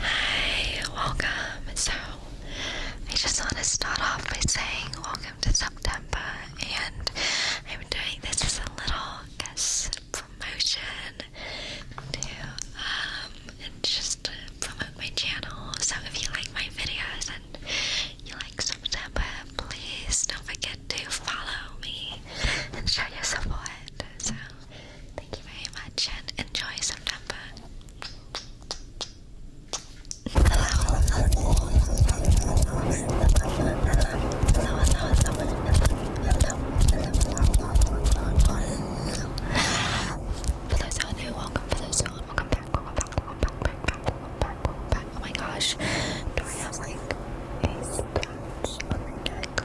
Hi, welcome. So, I just want to start off by saying welcome to September, and I'm doing this as a little guess promotion to um and just promote my channel. So, if you like my videos and you like September, please don't forget to follow me and show your support. So. Thank you very much and enjoy September. For those who are new, welcome. For those who aren't, welcome back, welcome back, welcome back, back, back, welcome back, welcome back. Oh my gosh, Dory has like a scratch on my neck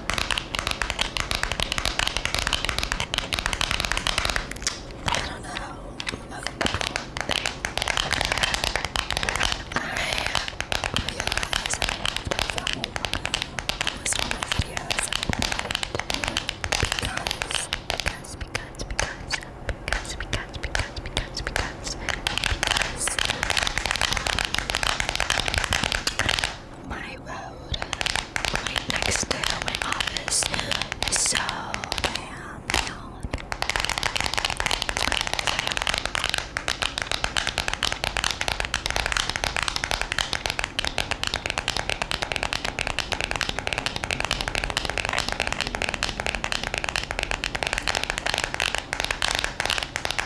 I don't know. Okay. I realized because, because, because, because, because, because, because, because, because, because, my road right next to my office, so I am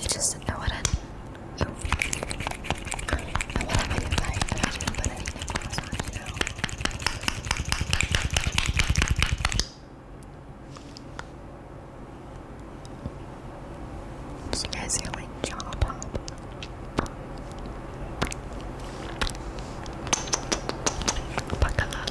You just I wouldn't. Oh. I would have a night, but I didn't put any necklace on, you know. What you guys hear like jaw pop. Buckle up.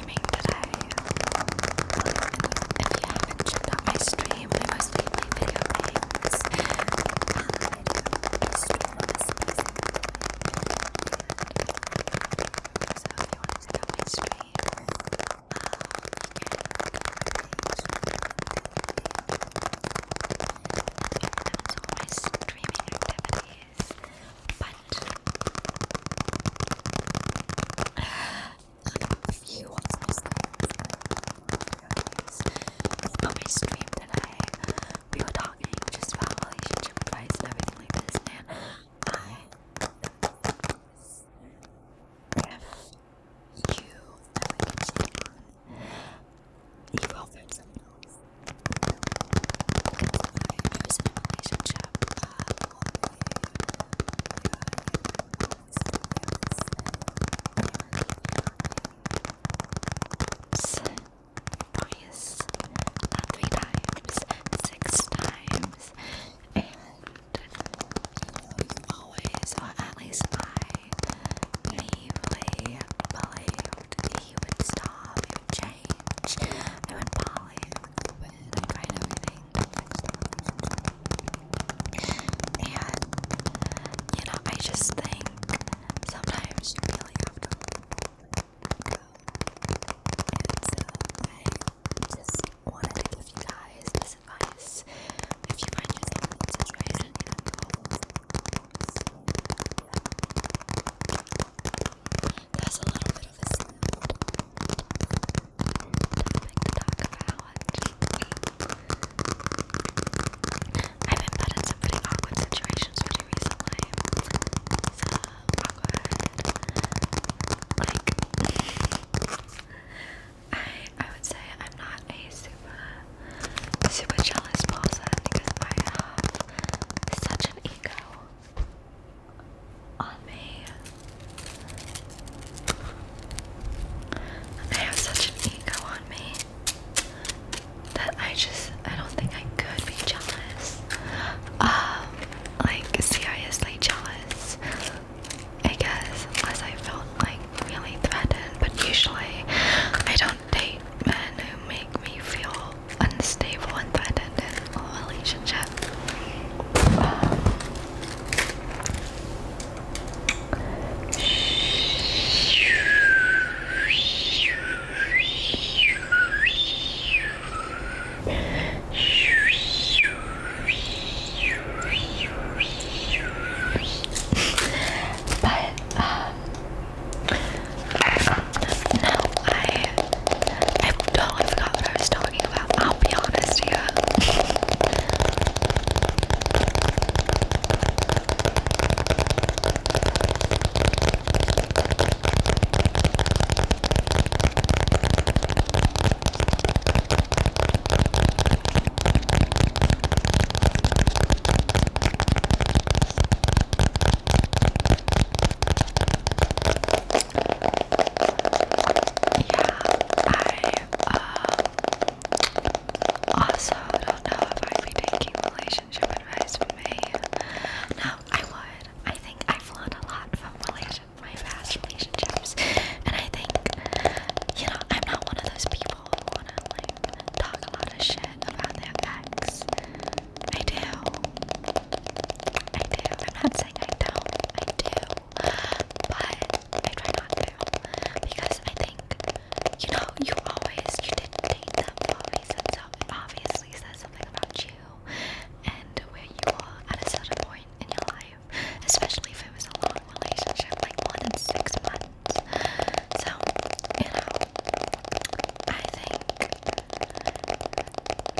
streaming today. And if you haven't checked out my stream, we mostly play video games. And I stream on this season. So if you want to check out my stream, um, you my streaming activities. But on my stream today, we were talking just about relationship advice and I. If you ever get cheated you will find someone else. was in a relationship uh, twice, not three times, six times, and always, at least I naively believed he would stop, he would change, I would follow I tried everything until And, you know, I just think sometimes you really have to go. And so I just wanted to give you guys this advice. If you find yourself in a situation, you have it a little bit of a I've been put in some pretty awkward situations pretty recently. Like, I, I would say I'm not a super, super jealous person because I have such an ego on me. I have such an ego on me that I just I don't think I could be jealous. Um, like seriously jealous. I guess unless I felt like really threatened, but usually I don't date men who make me feel unstable and threatened relationship. but um, now I I totally forgot what I was talking about. I'll be honest here. I um, also don't know if I'd be taking relationship advice from me. No, I would. I think I've learned a lot from my past relationships, and I think you know I'm not one of those people who wanna like talk a lot of shit about their ex. I do. I do. I'm not saying I don't. I do. But I try not to. Because I think, you know, you always, you didn't date them always. And so obviously says something about you and where you are at a certain point in your life. Especially if it was a long relationship, like more than six months. So, you know, I think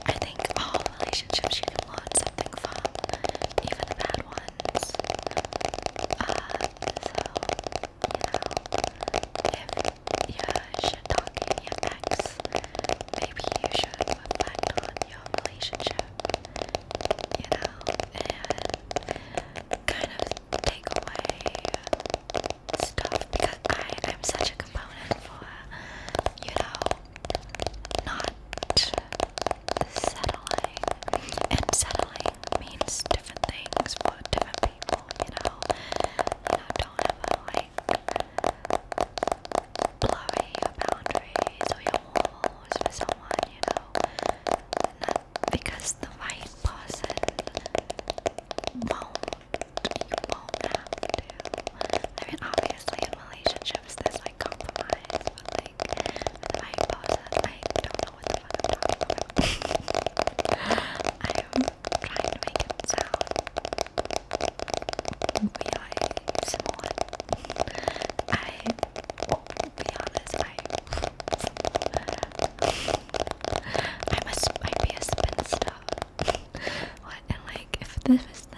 I think all relationships you can learn something from, even the bad ones. Uh, so, you know, if you're shit talking your ex, maybe you should reflect on your relationship, you know, and kind of take away stuff because I am such a component for you know not settling and settling means different things for different people you know you know don't ever like blurry boundary boundaries or your walls for someone you know not because the right person I mean, obviously, in relationships, there's like compromise, but like with my I don't know what the fuck I'm trying to make it sound realizable. I, to be honest, I. I'm a be a spinster. what and like if this was the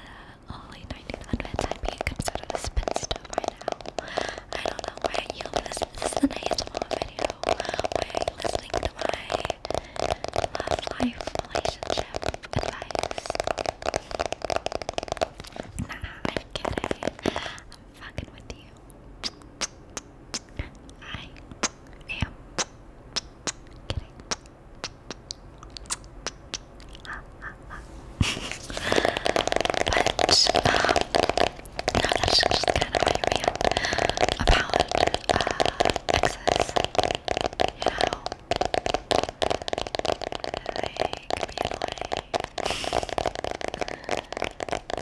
early 1900s, I'd be considered a spinster by now. I don't know why you listen. This is an ASMR video. Why are to my love life relationship advice? Nah, I'm kidding. I'm fucking with you. I am kidding. but no, that's just kind of my about uh, excess. You know, they can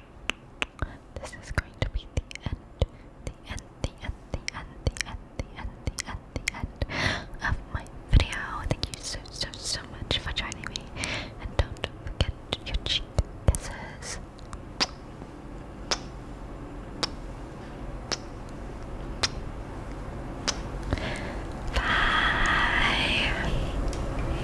This is going to be the end, the end, the end, the end, the end, the end, the end, the end of my video. Thank you so, so, so much for joining me. And don't forget your cheek kisses. Bye.